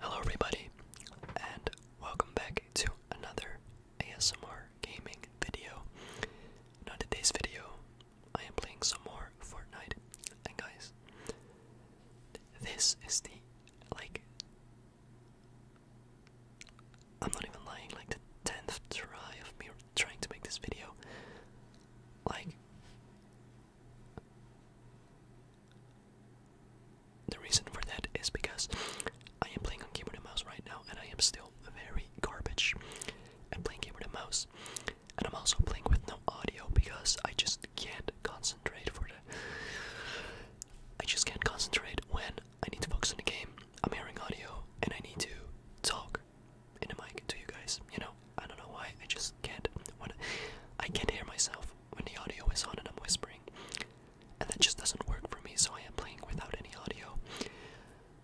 Hello, everybody, and welcome back to another ASMR gaming video. Now, today's video, I am playing some more Fortnite, and guys, this is the like. I'm not even lying, like the tenth try of me trying to make this video. Like, the reason for that is because I am playing on keyboard and mouse right now, and I am still very garbage at playing keyboard and mouse. And I'm also playing with no audio because I just can't concentrate for the. I just can't concentrate when I need to focus on the game. I'm hearing audio and I need to talk in the mic to you guys, you know? I don't know why. I just can't. When I can't hear myself when the audio is on and I'm whispering, and that just doesn't work for me. So I am playing without any audio.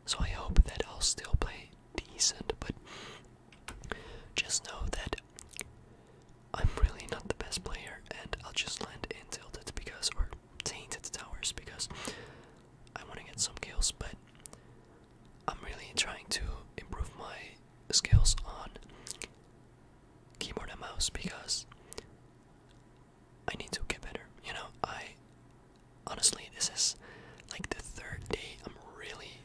So I hope that I'll still play decent, but just know that I'm really not the best player, and I'll just land in tilted because or tainted towers because I want to get some kills, but I'm really trying to improve my skills on keyboard and mouse because I need to get better. You know, I honestly this is like the third day I'm really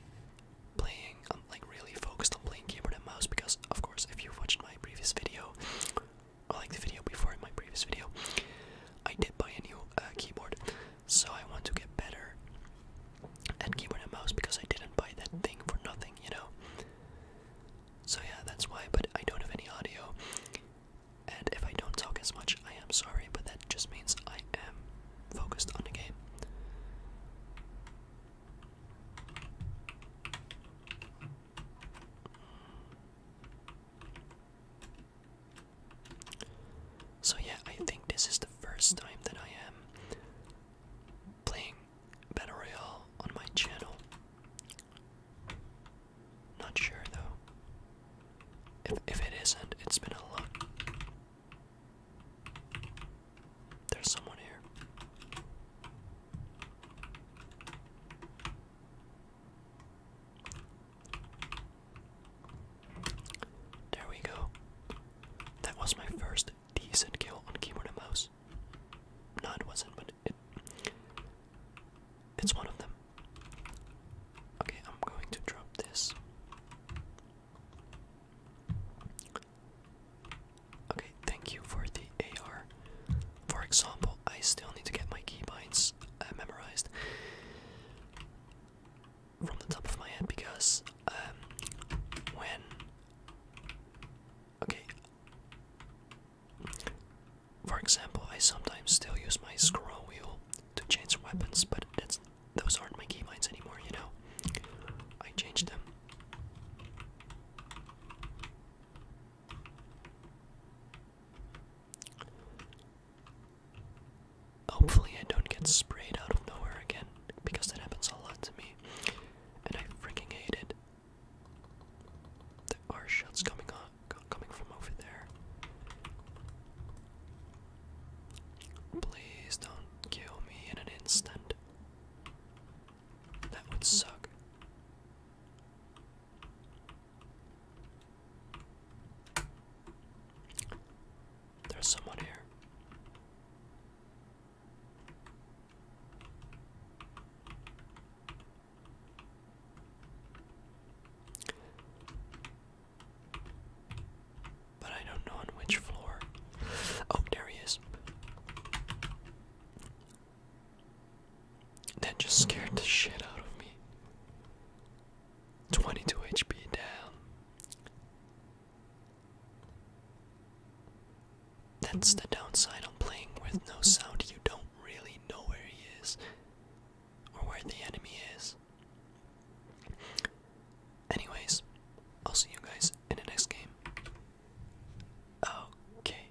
playing I'm like really focused on playing keyboard and mouse because of course if you watched my previous video or like the video before in my previous video I did buy a new uh, keyboard so I want to get better at keyboard and mouse because I didn't buy that thing for nothing, you know? So yeah, that's why, but I don't have any audio. And if I don't talk as much, I am sorry, but that just means I am focused on the game. So yeah, I think this is the first time that I am playing Battle Royale on my channel. Not sure though. If, if it isn't, it's been a long. There's someone here. There we go. That was my first decent kill on keyboard and mouse. No, wasn't, but it's one of them. Okay, I'm going to drop this. Okay, thank you for the AR. For example, I still need to get my keybinds uh, memorized from the top of my head because um, when okay for example I sometimes still use my scroll wheel to change weapons but that's those aren't my keybinds anymore you know I changed them Hopefully, I don't get sprayed out of nowhere again because that happens a lot to me, and I freaking hate it. There are shots coming up, coming from over there. Please don't kill me in an instant. That would suck. There's someone here. But I don't know on which floor. Oh, there he is. That just scared the shit out of me. 22 HP down. That's the downside on playing with no sound. You don't really know where he is or where the enemy is. Anyways, I'll see you guys in the next game. Okay.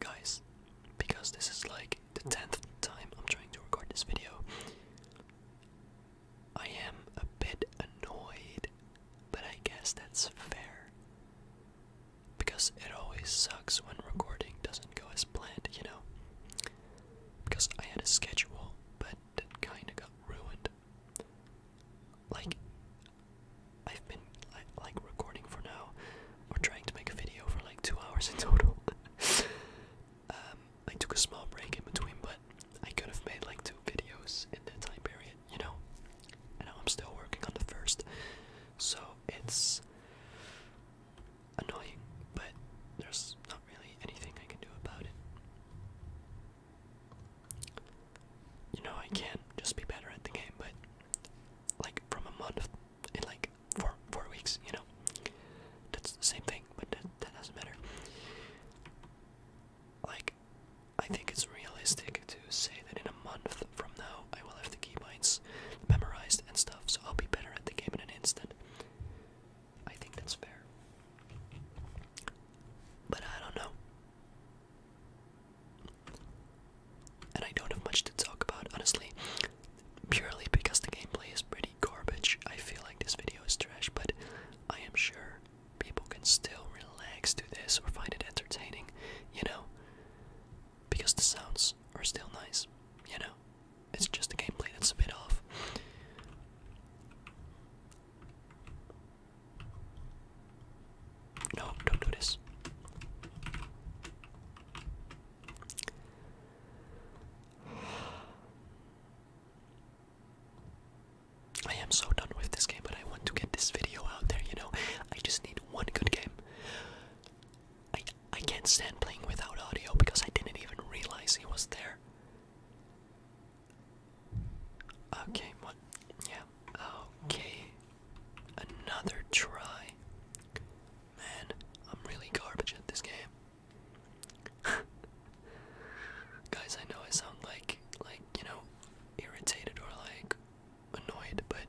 Guys, because this is like the tenth time I'm trying to record this video. I am a bit annoyed, but I guess that's fair. Because it always sucks when recording doesn't go as planned, you know? Because I had a schedule, but it kinda got ruined. Like, I've been like recording for now or trying to make a video for like two hours in total. um, I took a small break in between, but I could have made like two videos in that time period, you know? And now I'm still working on the first, so it's annoying, but there's not really anything I can do about it. You know, I can just be better at the game, but like from a month, in like four four weeks, you know. That's the same thing, but that, that doesn't matter. Like, I think it's realistic to say that in a month from now, I will have the key keybinds memorized and stuff, so I'll be better at the game in an instant. I think that's fair. But I don't know and I don't have much to talk about, honestly, purely because the gameplay is pretty garbage. I feel like this video is trash, but I am sure people can still relax to this or find it entertaining, you know? Because the sounds are still nice, you know? It's just the gameplay that's a bit off. No, don't do this. I am so done with this game, but I want to get this video out there, you know? I just need one good game. I I can't stand playing without audio because I didn't even realize he was there. Okay, what? Yeah. Okay. Another try. Man, I'm really garbage at this game. Guys, I know I sound like, like, you know, irritated or like annoyed, but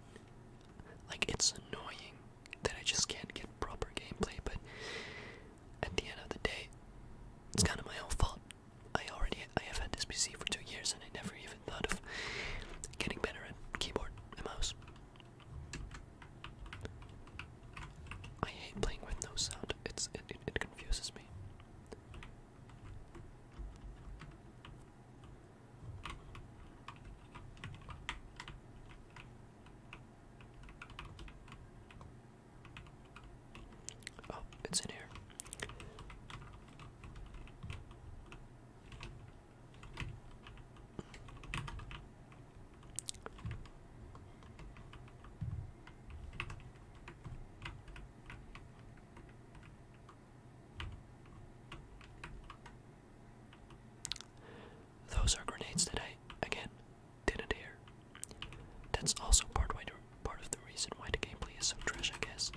like it's annoying that I just can't get proper gameplay, but at the end of the day, it's kind of my own fault. I already I have had this PC for two years and I never even thought of getting better at keyboard and mouse. I hate playing with no sound. It's it, it, confuses me. Oh, it's in here. Those are grenades that I again didn't hear. That's also part why part of the reason why the gameplay is so trash, I guess,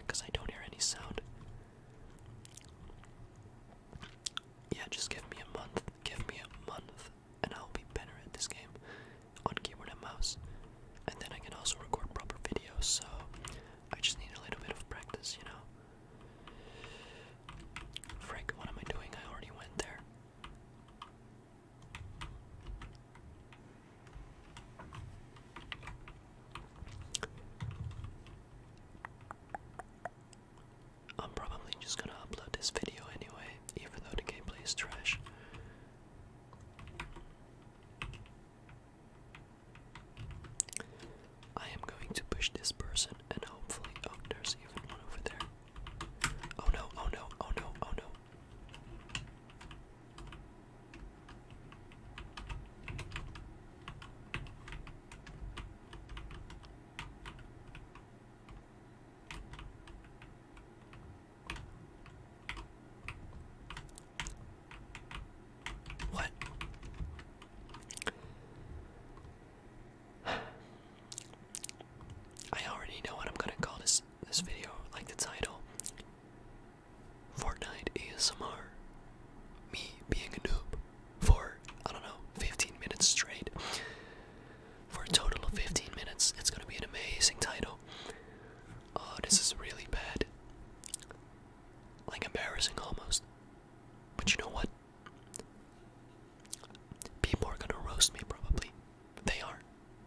because I don't hear any sound. Yeah, just give me a month, give me a month, and I'll be better at this game on keyboard and mouse. And then I can also record proper videos, so I just need a little bit of practice, you know? Frick, what am I doing? I already went there. I'm probably just gonna upload this video anyway, even though the gameplay is trash. I am going to push this person and hopefully. Oh, there's even one over there. Oh no, oh no, oh no, oh no. What? I already know what I'm gonna call this this video, like the title. Fortnite ASMR. Me being a noob for, I don't know, 15 minutes straight. For a total of 15 minutes, it's gonna be an amazing title. Oh, this is really bad. Like embarrassing almost. But you know what? People are gonna roast me probably. They are.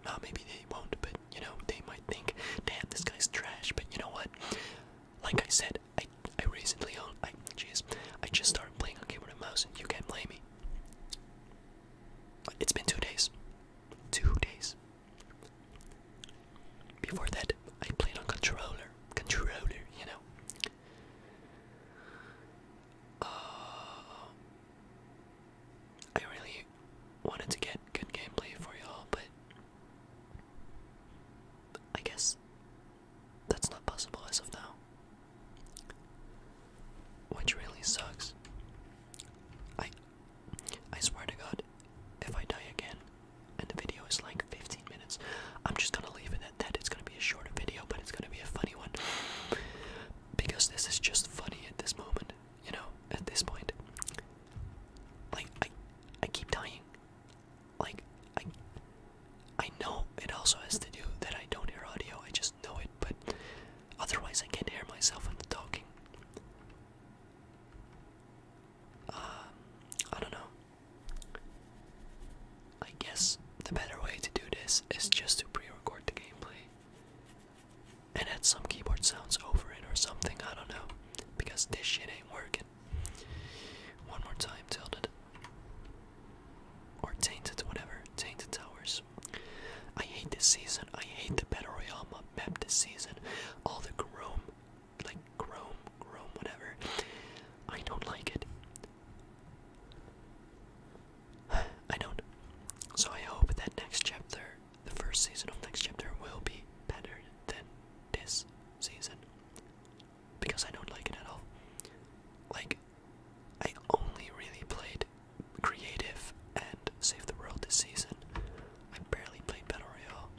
Nah, maybe they won't, but you know, they might think, damn, this guy's trash, but you know what? Like I said, I I recently own I jeez, I just started playing on keyboard and mouse. and You can't blame me. It's been two days. Two days. Before that, I played on controller. Controller, you know. Uh, I really wanted to get good gameplay for y'all, but I guess that's not possible as of now. Which really sucks. I I swear to god, if I die again and the video is like 15 minutes, I'm just gonna leave it at that. It's gonna be a shorter video, but it's gonna be a funny one. Because this is just funny at this moment you know, at this point. Like I I keep dying. Like I I know it also has to do that I don't hear audio, I just know it, but otherwise I can't hear myself when talking. Um, I don't know. I guess the better way to do this is just to pre-record the gameplay and add some keyboard sounds over it or something. I don't know, because this shit ain't working. One more time, tilted. Or tainted, whatever. Tainted towers. I hate this season. I hate the battle royale map this season. All the chrome, like chrome, chrome, whatever. I don't like it. I don't. So I hope that next chapter the first season of next chapter, will be better than this season. Because I don't like it at all. Like, I only really played Creative and Save the World this season. I barely played Battle Royale.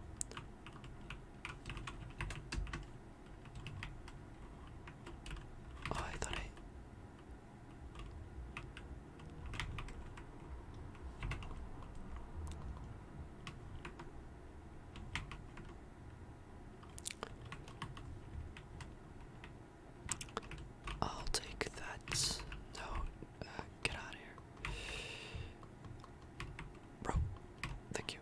Oh, I thought I. I'll take that. note. Uh, get out of here. Bro, thank you.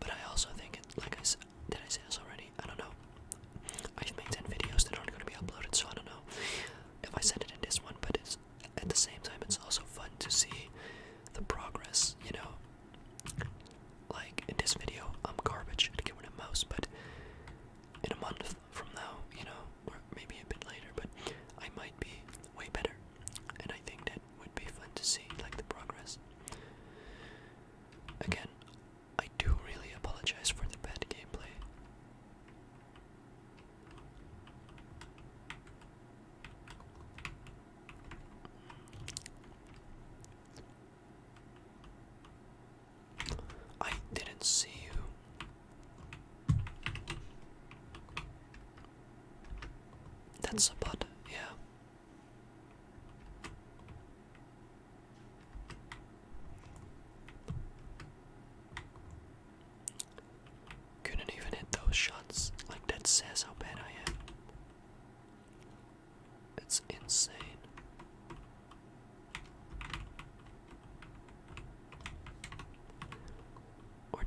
But I also think it, like I said, did I say this already? I don't know. I just made 10 videos that aren't going to be uploaded, so I don't know if I send it in this one, but it's at the same time, it's also fun to see the progress, you know? Like, in this video, I'm garbage at giving a mouse, but in a month from now, you know, maybe a bit later, but I might be way better. And I think that would be fun to see, like, the progress. Again, I do really apologize for the bad gameplay. I didn't see you. That's a bot, yeah. Couldn't even hit those shots. Like, that says how bad I am. It's insane. Or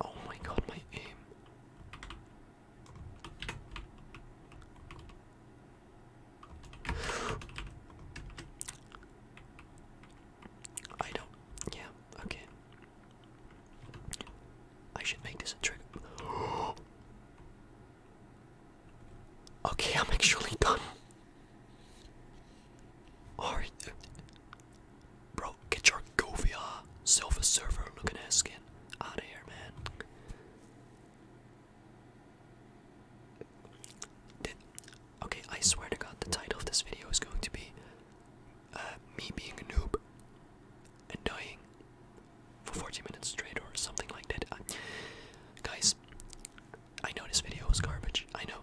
Oh my god, my aim. I don't. Yeah, okay. I should make this a trigger. okay, I'm actually done. Alright. Bro, get your goofy uh, server looking ass out of here, man. okay, I swear to god, the title of this video is going to be uh, Me Being a Noob and Dying for 40 minutes straight or something like that. Uh, guys, I know this video was garbage. I know.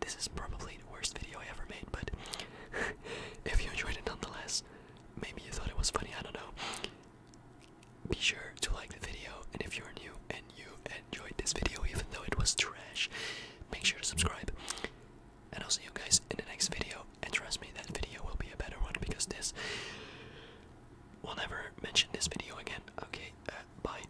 This is probably the worst video I ever made, but if you enjoyed it nonetheless, maybe you thought it was funny, I don't know. Be sure to like the video, and if you're new and you enjoyed this video, even though it was trash, make sure to subscribe. And I'll see you guys in the next video, and trust me, that video will be a better one because this. will never mention this video again. Okay, uh, bye.